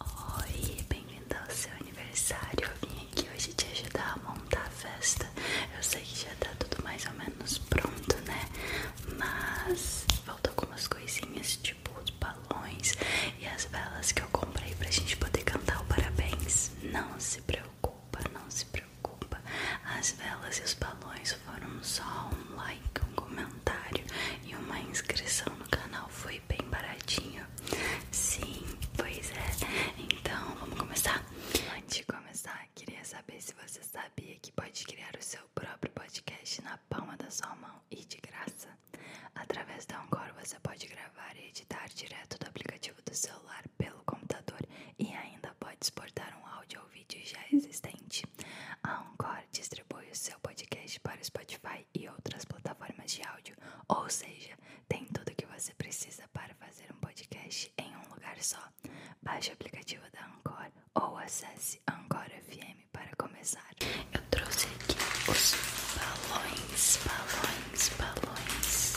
Oi, bem-vinda ao seu aniversário. Eu vim aqui hoje te ajudar a montar a festa. Eu sei que já tá tudo mais ou menos pronto, né? Mas faltam algumas coisinhas, tipo os balões e as velas que eu comprei pra gente poder cantar o parabéns. Não se preocupa, não se preocupa. As velas e os balões foram só um like, um comentário e uma inscrição no canal foi bem baratinho. Sim, pois é. Então, vamos começar? Antes de começar, queria saber se você sabia que pode criar o seu próprio podcast na palma da sua mão e de graça. Através da Encore você pode gravar e editar direto do aplicativo do celular pelo computador e ainda pode exportar um áudio ou vídeo já existente. A Encore distribui o seu podcast para o Spotify e outras plataformas de áudio, ou seja, tem tudo que você precisa para fazer um podcast em um lugar só. Baixe o aplicativo da Anchor ou acesse Anchor FM para começar. Eu trouxe aqui os balões, balões, balões.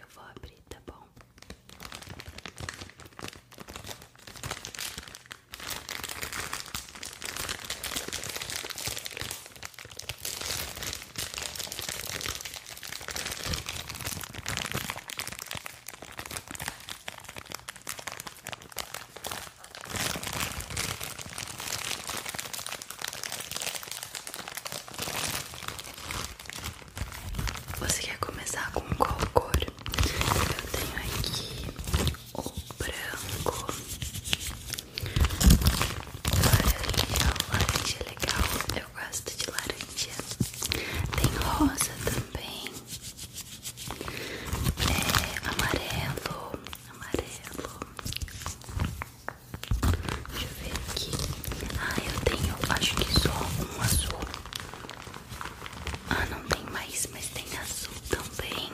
Eu vou abrir, tá bom? Você quer começar com qual cor? Eu tenho aqui o branco, o laranja, o laranja é legal, eu gosto de laranja. Tem rosa também, é, amarelo, amarelo. Deixa eu ver aqui. Ah, eu tenho, acho que só um azul. Ah, não tem mais, mas tem azul também.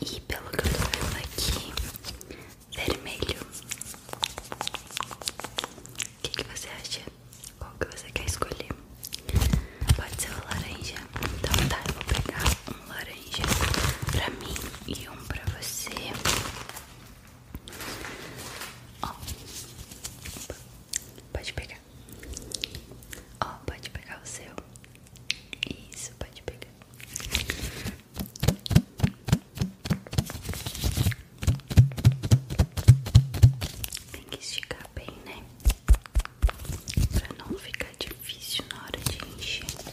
E pelo que eu tô vendo aqui, vermelho. O que, você acha? Qual que você quer escolher? Pode ser o laranja? Então tá, eu vou pegar um laranja pra mim e um pra você. Ó, pode pegar. Ó, pode pegar o seu. Isso, pode pegar. Tem que esticar bem, né? Pra não ficar difícil na hora de encher.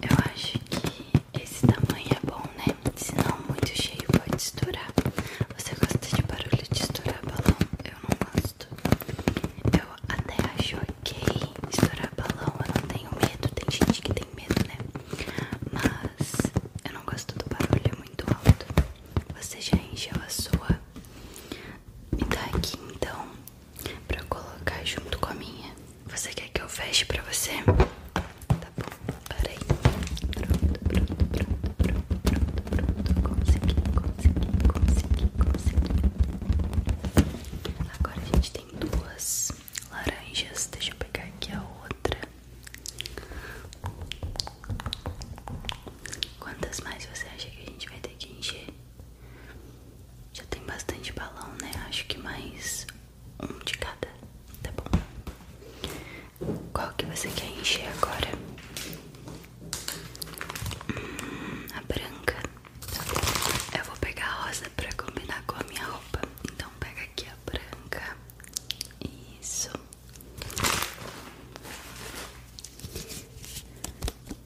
Eu acho que esse tamanho é bom, né? senão muito cheio pode estourar. Você gosta de barulho de estourar balão? Eu não gosto. Eu até acho ok estourar balão. Eu não tenho medo. Tem gente que tem medo, né? Mas eu não gosto do barulho é muito alto. Você já encheu a sua? Me dá aqui então para colocar junto com a minha. Você quer que eu feche para você? Tá bom, parei. pronto, pronto, pronto, pronto, pronto. Consegui, consegui, consegui, consegui. Agora a gente tem duas laranjas. Deixa eu pegar aqui a outra. Quantas mais você acha que a gente vai ter que encher? Já tem bastante balão, né? Acho que mais um de cada, tá bom? Qual que você quer encher agora? Hum, a branca. Tá Eu vou pegar a rosa pra combinar com a minha roupa. Então pega aqui a branca. Isso.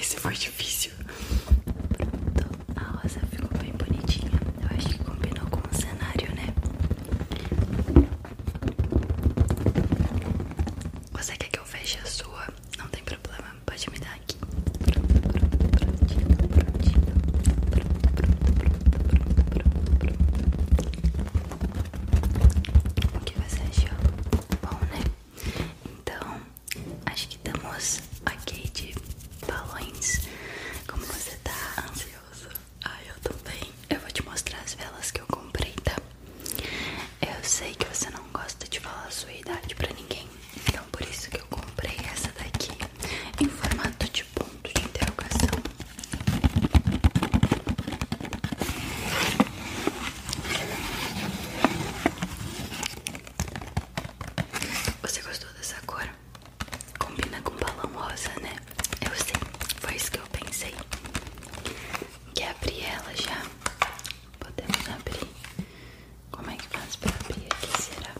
Esse foi difícil. Pronto, a rosa ficou bem bonitinha. Eu acho que combinou com o cenário, né? Você quer que eu feche a sua? Não tem problema, pode me dar aqui. Pronto, pronto, prontinho, prontinho. Pronto, pronto, pronto, pronto, pronto, O que você achou? Bom, né? Então, acho que estamos ok de balões. Como você tá ansioso? Ah, eu também. Eu vou te mostrar as velas que eu comprei, tá? Eu sei que você não gosta de falar a sua idade pra ninguém, então por isso que eu comprei essa daqui em formato de ponto de interrogação. Você gostou dessa cor? Combina com balão rosa, né? Eu sei, foi isso que eu pensei. Quer abrir ela já? Podemos abrir. Como é que faz pra abrir aqui? Será?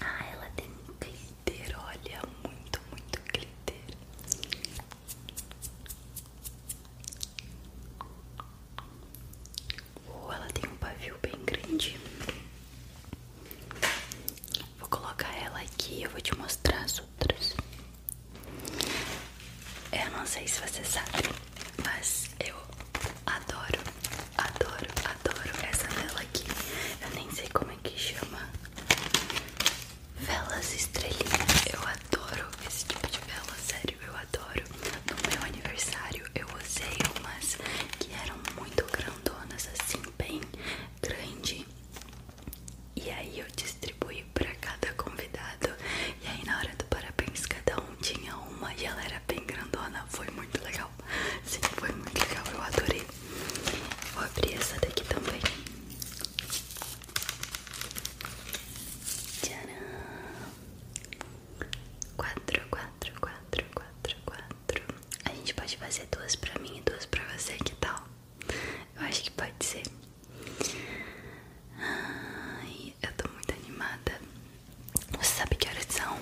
Ah, ela tem glitter, olha, muito, muito glitter. Ou ela tem um pavio bem grande. Vou colocar ela aqui eu vou te mostrar as outras. Eu não sei se você sabe, mas eu adoro, adoro, adoro essa vela aqui. Eu nem sei como é que chama. Velas estrelinhas. Eu adoro esse tipo de vela, sério, eu no meu aniversário eu usei umas que eram muito grandonas, assim, bem grande. E aí eu distribuí pra cada convidado. E aí na hora do parabéns cada um tinha uma e ela era bem grandona. Foi muito legal. Sim, foi muito legal, eu adorei. Vou abrir essa daqui também. Tcharam! Quatro, quatro, quatro, quatro, quatro. A gente pode fazer duas pra mim e duas pra você, que tal? Eu acho que pode ser. Ai, eu tô muito animada. Você sabe que horas são?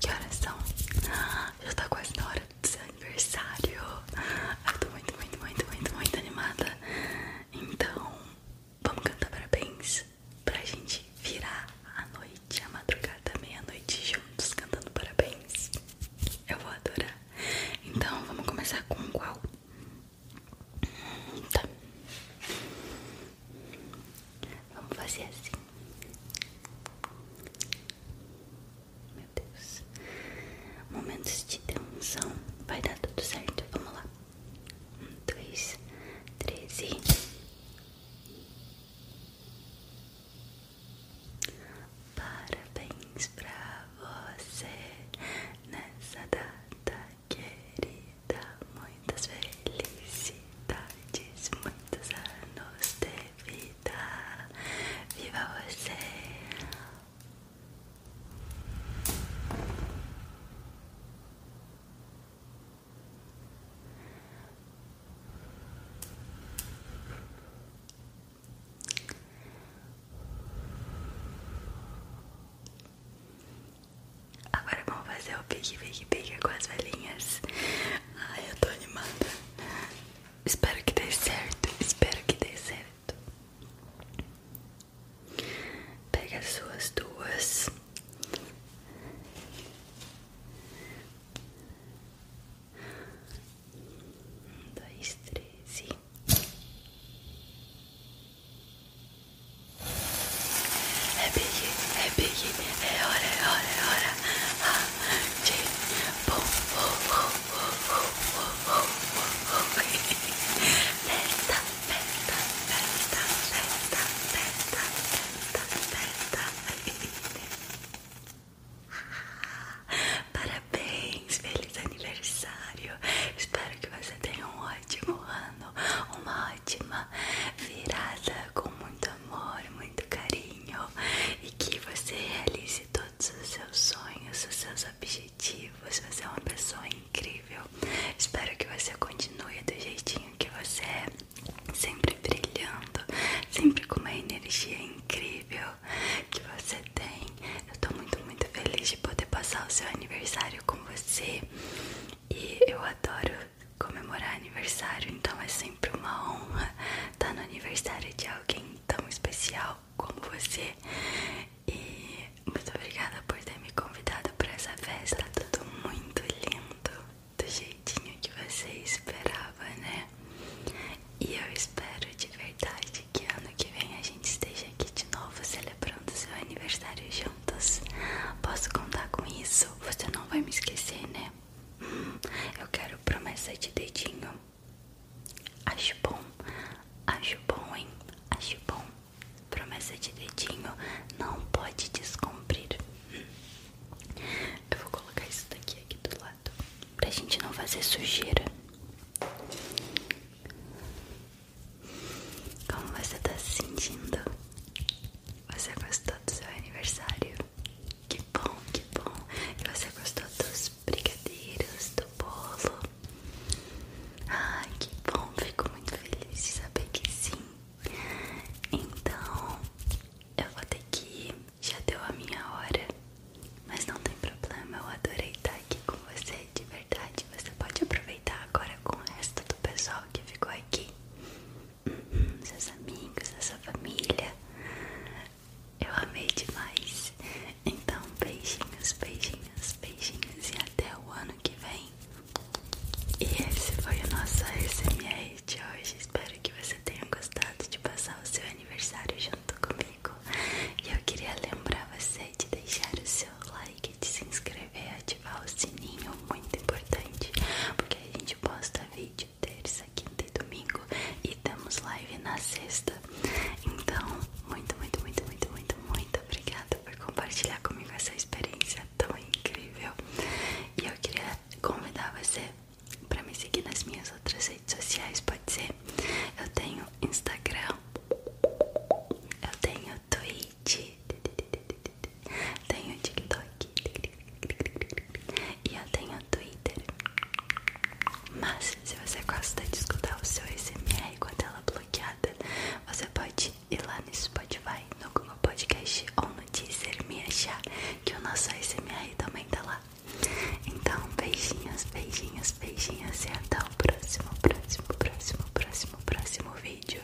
Que horas são? Ah, já tá quase na hora do seu aniversário. Eu tô muito, muito, muito, muito, muito animada. Então, vamos cantar parabéns pra gente virar a noite, a madrugada, meia-noite juntos cantando parabéns. Eu vou adorar. Então, vamos começar com qual? Tá. Vamos fazer assim. Meu Momentos de tensão. Vai dar tudo certo. Vamos lá. Um, dois, três e. Parabéns pra você nessa data querida. Muitas felicidades, muitos anos de vida. Viva você! Agora vamos fazer o pique, pique, pique com as velhinhas. Ai, eu tô animada. Espero que dê certo. Espero que dê certo. certo. Pega suas duas. dois, três e. É é big, é hora, hora, hora. Ah, de bom, Aperta, aperta, aperta, aperta, aperta, aperta, aperta. Parabéns, feliz aniversário. Espero que você tenha um ótimo ano, uma ótima virada com muito amor, muito carinho e que você realize todos todos os seus sonhos, os seus objetivos. Você é uma pessoa incrível. Espero que você continue do jeitinho que você é, sempre brilhando, sempre com uma energia incrível que você tem. Eu tô muito, muito feliz de poder passar o seu aniversário com você e eu adoro comemorar aniversário, então é sempre uma honra estar no aniversário de alguém tão especial como você. E muito obrigada por ter me convidado para essa festa. Tá tudo muito lindo, do jeitinho que você esperava, né? E eu espero de verdade que ano que vem a gente esteja aqui de novo celebrando seu aniversário juntos. Posso contar com isso? Você não vai me esquecer, né? Hum, eu quero promessa de dedinho. Acho bom, acho bom, hein? Acho bom. Promessa de dedinho não pode descumprir. Eu vou colocar isso daqui aqui do lado pra gente não fazer sujeira. Como você tá se sentindo? Você gostou do seu aniversário? Que bom, que bom. E você gostou dos brigadeiros, do bolo? Ai, que bom. Fico muito feliz de saber que sim. Então, eu vou ter que ir. Já deu a minha hora. Mas não tem problema, eu adorei estar aqui com você, de verdade. Você pode aproveitar agora com o resto do pessoal que ficou aqui. Uhum, seus amigos, a sua família. Eu amei demais. Então, beijinhos, beijinhos, beijinhos e até o ano que vem. E esse foi o nosso SMR de hoje. Espero que você tenha gostado de passar o seu aniversário junto comigo. E eu queria lembrar você de deixar o seu like, de se inscrever, ativar o sininho, muito importante, porque a gente posta vídeos terça, quinta e domingo e temos live na sexta. Então, muito, muito, muito, muito, muito, muito obrigada por compartilhar comigo essa experiência tão incrível. E eu queria convidar você para me seguir nas minhas outras redes sociais, pode ser? Eu tenho Instagram, eu tenho Twitch, tenho TikTok, e eu tenho Twitter. Mas se você gosta de escutar o seu SMR com a tela bloqueada, você pode ir lá no Spotify, no Google Podcast ou no Deezer me achar que o nosso SMR também está lá. Então, beijinhos, beijinhos, beijinhos e até o próximo, próximo, próximo, próximo, próximo vídeo.